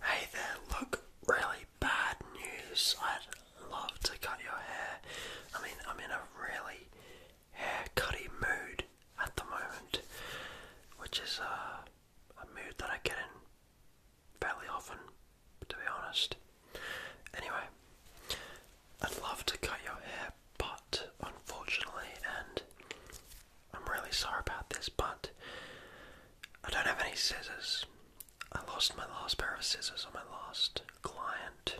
Hey there, look, really bad news. I'd love to cut your hair. I mean, I'm in a really haircutty mood at the moment, which is a, uh, a mood that I get in fairly often, to be honest. Anyway, I'd love to cut your hair, but unfortunately, and I'm really sorry about this, but I don't have any scissors. I lost my last pair of scissors on my last client.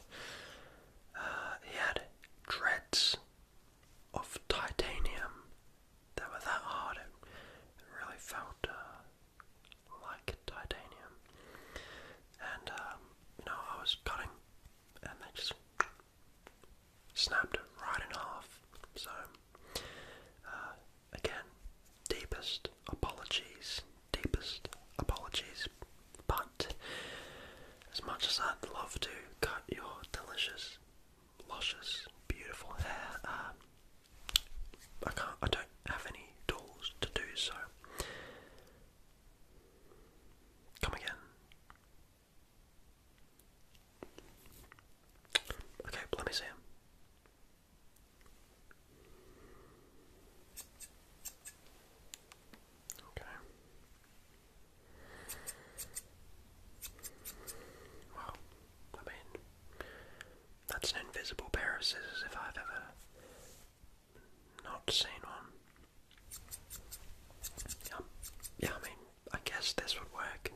Uh, he had dreads of titanium that were that hard. It, really felt uh, like titanium. And, you um, know, I was cutting and they just snapped it right in half. So uh, again, deepest apologies, deepest apologies. But as much as I'd love to cut your delicious, luscious, beautiful hair, um, I can't. I don't have any tools to do so. Come again. Okay, let me see. Okay. Well, I mean, that's an invisible pair of scissors if I've ever not seen one. Yeah, yeah I guess this would work.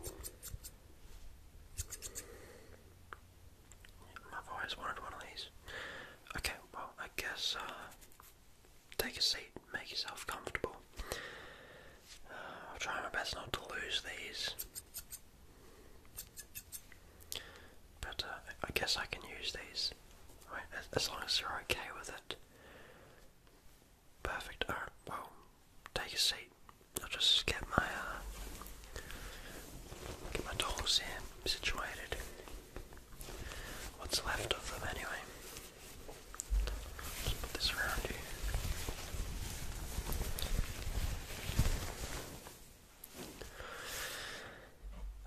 I've always wanted one of these. Okay, well, I guess uh, take a seat, make yourself comfortable. Uh, I'll try my best not to lose these. But uh, I guess I can use these, right? As, as long as you're okay with it. Perfect. Alright, well, take a seat. I'll just get my uh, get my tools here situated. What's left of them anyway. Just put this around you.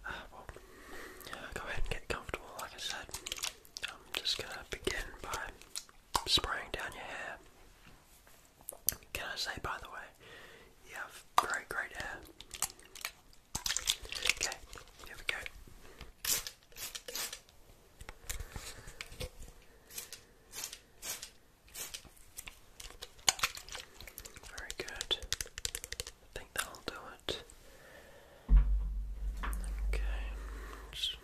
Uh, well, go ahead and get comfortable, like I said. I'm just gonna begin by spraying down your hair. Can I say, by the way, you have very great hair. Okay, here we go. Very good. I think that'll do it. Okay.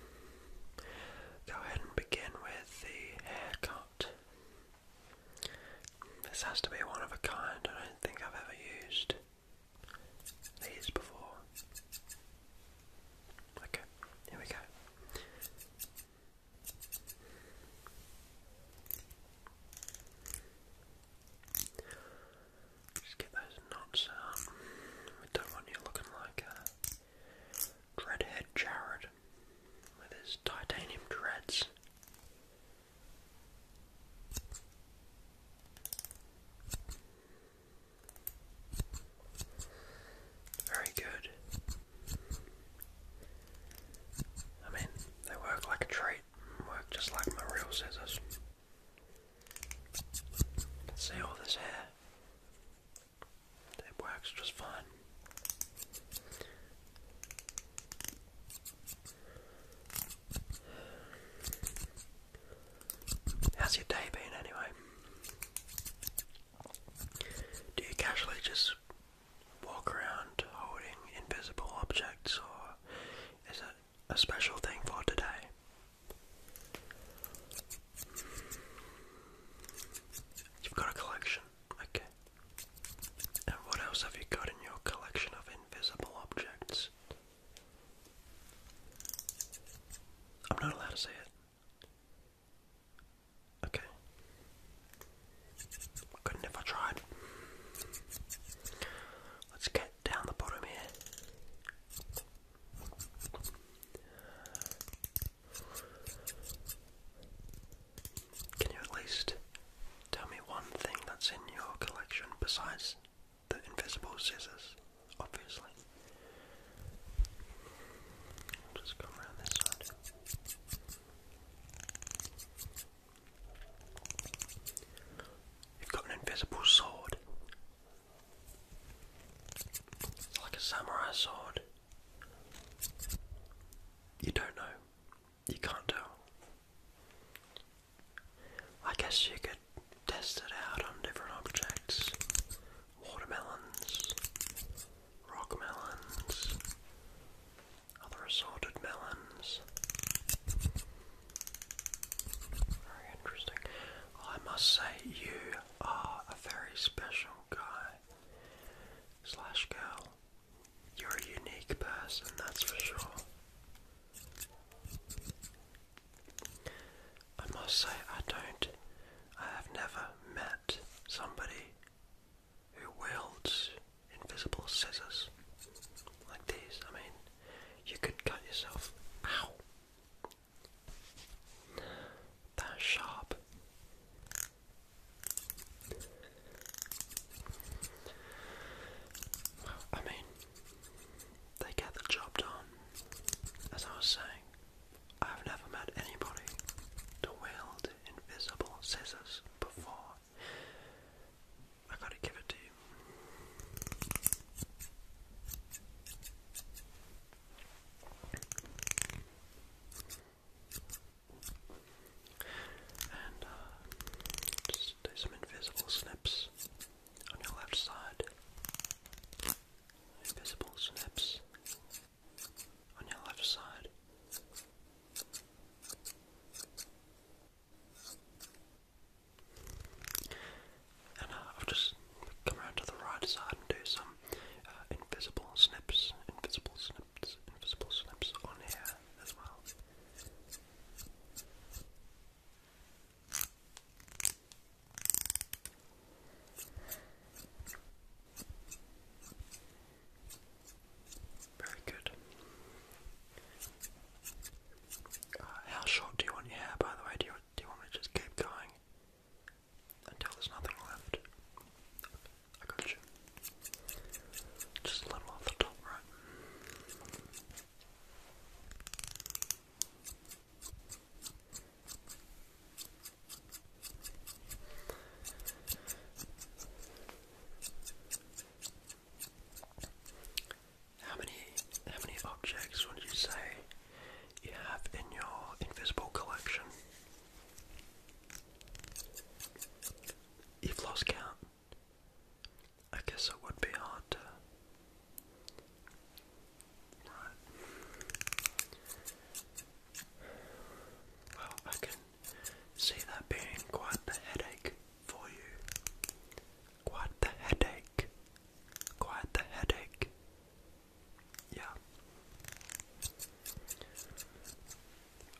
Go ahead and begin with the haircut. This has to be one of a kind, I don't think I've ever used these before. Okay, here we go. Just get those knots out. We don't want you looking like a Dreadhead Jared with his titanium dreads. Very good. I mean, they work like a treat, work just like my real scissors. See all this hair? It works just fine. How's your day been anyway? Do you casually just walk around holding invisible objects or is it a special thing for today? You've got a collection, okay. And what else have you got in your collection of invisible objects? I'm not allowed to say it. Okay. Couldn't if I tried. Let's get down the bottom here. Can you at least tell me one thing that's in your collection besides the invisible scissors? Obviously. just come around this side. You've got an invisible sword. Like a samurai sword. You don't know. You can't tell. I guess you could test it out on different objects. Watermelons, rock other assorted melons. Very interesting. I must say, you are ah, a very special guy slash girl. You're a unique person, that's for sure. I must say, I don't, I have never met somebody who wields invisible scissors like these. I mean, you could cut yourself, ow, that sharp. I mean, they get the job done. As I was saying, I've never met anybody to wield invisible scissors before. I gotta give it to you. And uh, just do some invisible snips on your left side. Invisible snips on your left side. And uh, I'll just come around to the right side and do some uh, invisible snips, invisible snips, invisible snips on here as well. Very good. Uh, how short do you want your hair, by the way? Do you, do you want me to just keep going? until there's nothing left. I got you. Just a little off the top, right? How many how many objects would you say you have in your invisible collection? You've lost count. I guess it would be hard Right. Well, I can see that being quite the headache for you. Quite the headache Quite the headache. Yeah.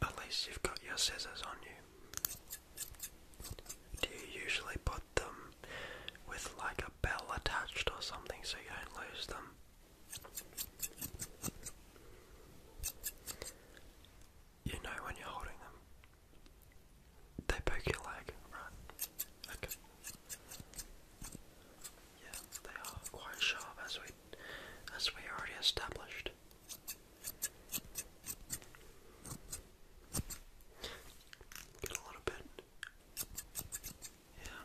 At least you've got your scissors on you. Do you usually put them with like a bell attached or something so you don't lose them? You know when you're holding them. They poke your leg, right? Okay. Yeah, they are quite sharp as we as we already established. Get a little bit. Yeah.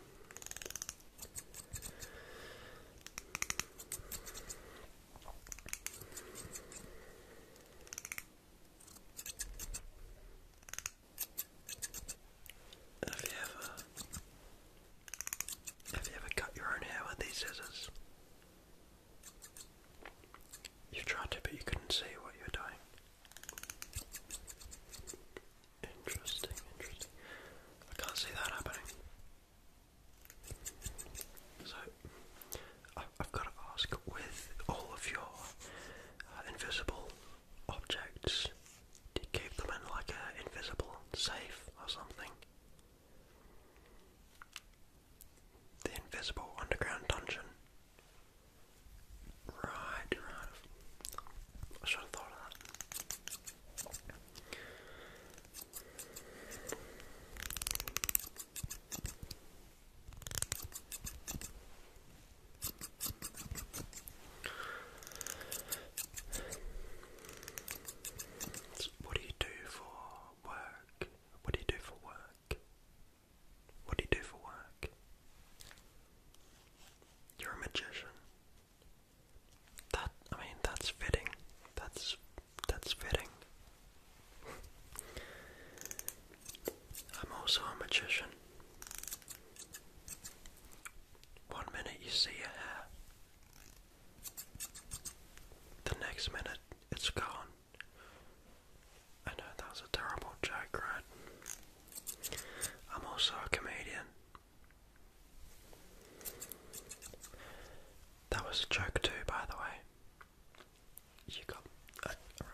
Have you ever have you ever cut your own hair with these scissors? you tried to but you couldn't see what you were doing. Interesting, interesting. I can't see that happening. So I've got to ask, with all of your invisible objects. Did keep them in like an invisible safe or something. The invisible underground dungeon. right. I should have thought of that what do you do for work? What do you do for work? What do you do for work? You're a magician. That I mean that's fitting. That's that's fitting. I'm also a magician. One minute you see a hair, the next minute it's gone. I know that was a terrible joke, right? I'm also a comedian. That was a joke too, by the way. You got around.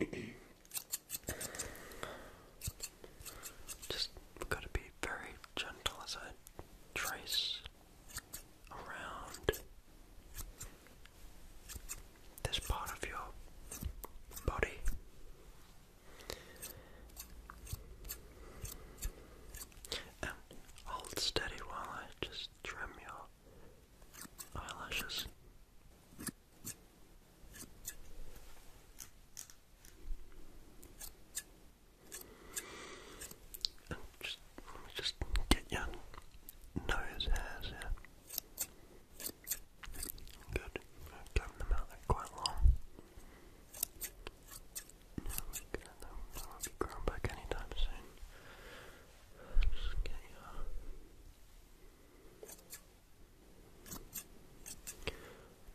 Okay. Okay. Just got to be very gentle as I trace around this part of your body. And hold steady while I just trim your eyelashes. And just, just get your nose hairs here. Good. i them out like quite long. they won't um, be grown back anytime soon.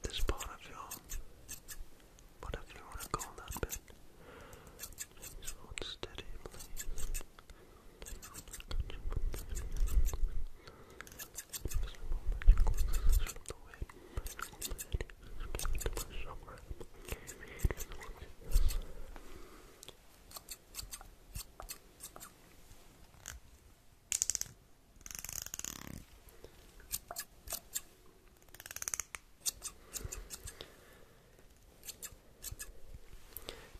This part of your... whatever you want to call that bit. Just hold steady, please.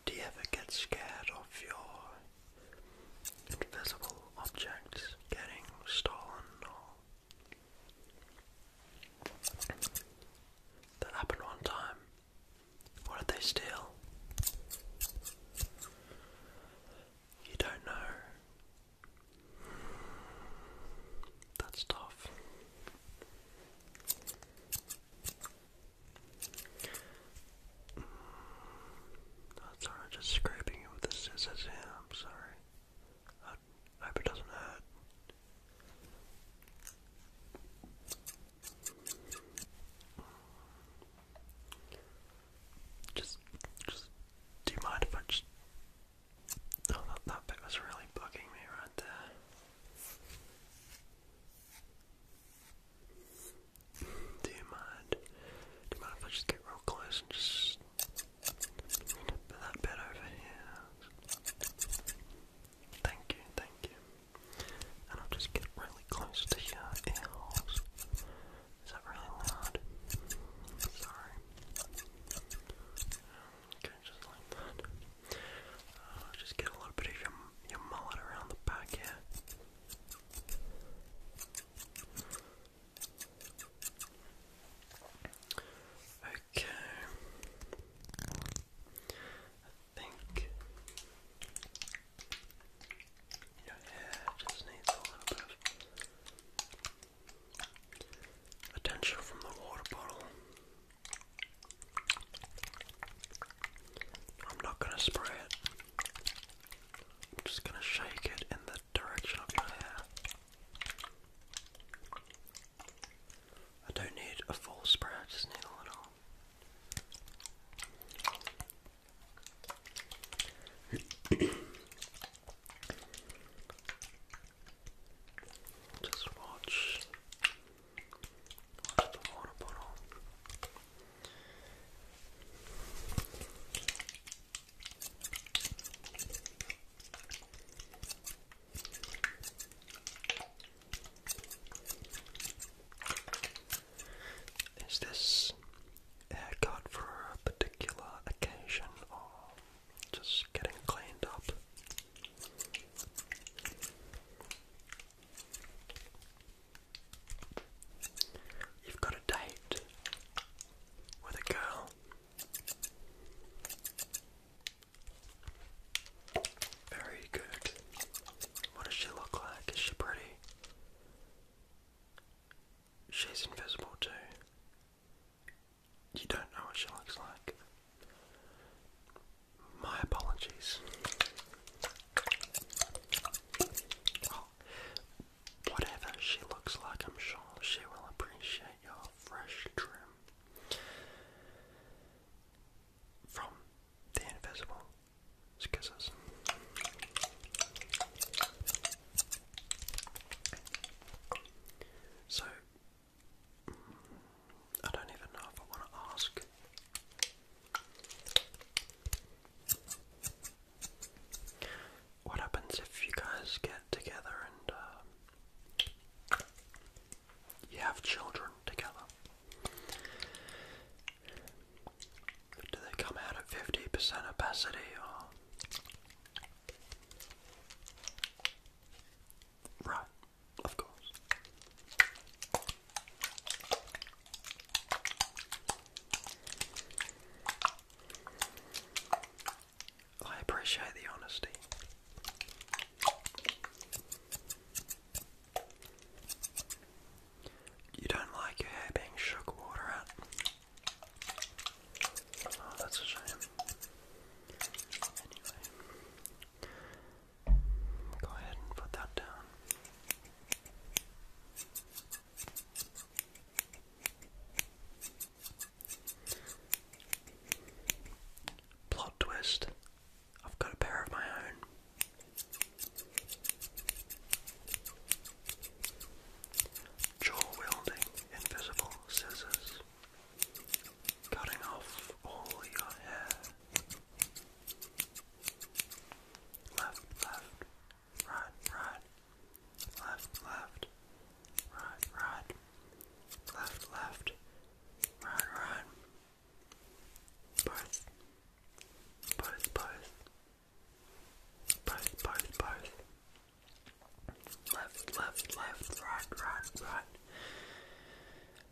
Do you ever get scared of your invisible objects getting stolen that happened one time. What did they steal? You don't know. That's tough that's alright, just scraping it with the scissors I'm sorry. I hope it doesn't hurt. Just, just, do you mind if I just, oh that, that bit was really bugging me right there. Do you mind? Do you mind if I just get real close and just put that bit over here? Thank you, thank you. And I'll just get really close to your ear holes. Is that really loud? Sorry. Okay, just like that. Uh, just get a little bit of your, your mullet around the back here. Okay. I think your hair just needs a little bit of attention from the water bottle. I'm not going to spray it. I'm just going to shake it in the direction of my hair. I don't need a full spray, I just need a little. Just watch is this haircut for a particular occasion or just getting cleaned up? You've got a date with a girl. Very good. What does she look like? Is she pretty? She's invisible too. You don't know what she looks like. My apologies. Oh, whatever she looks like, I'm sure she will appreciate your fresh trim. From the invisible scissors. So, I don't even know if I want to ask. What happens if you guys get together and um, you have children together? Do they come out at 50% opacity or. Right, of course. I appreciate the honesty. You don't like your hair being shook water at? Oh, that's a shame. Anyway, Go ahead and put that down. Plot twist. I've got a pair of my own. Jaw wielding invisible scissors, cutting off all your hair. Left, left, right, right. Left, left, right, right. Left, left, right, right. Both, both, both. Both, both, both. Left, left, left, right, right, right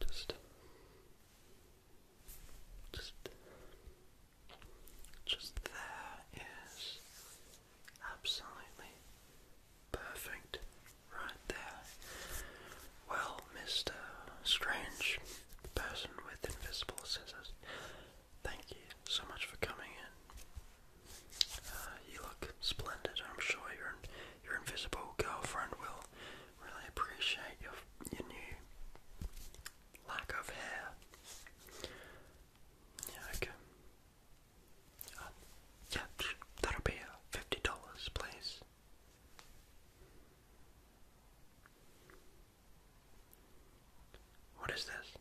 just, just, just there is absolutely perfect right there. Well, Mr. Strange, person with invisible scissors, thank you so much for coming in. Uh, you look splendid. I'm sure you're your invisible girlfriend will really appreciate your, your new lack of hair. Yeah, okay. Uh, yeah, that'll be uh, $50, please. What is this?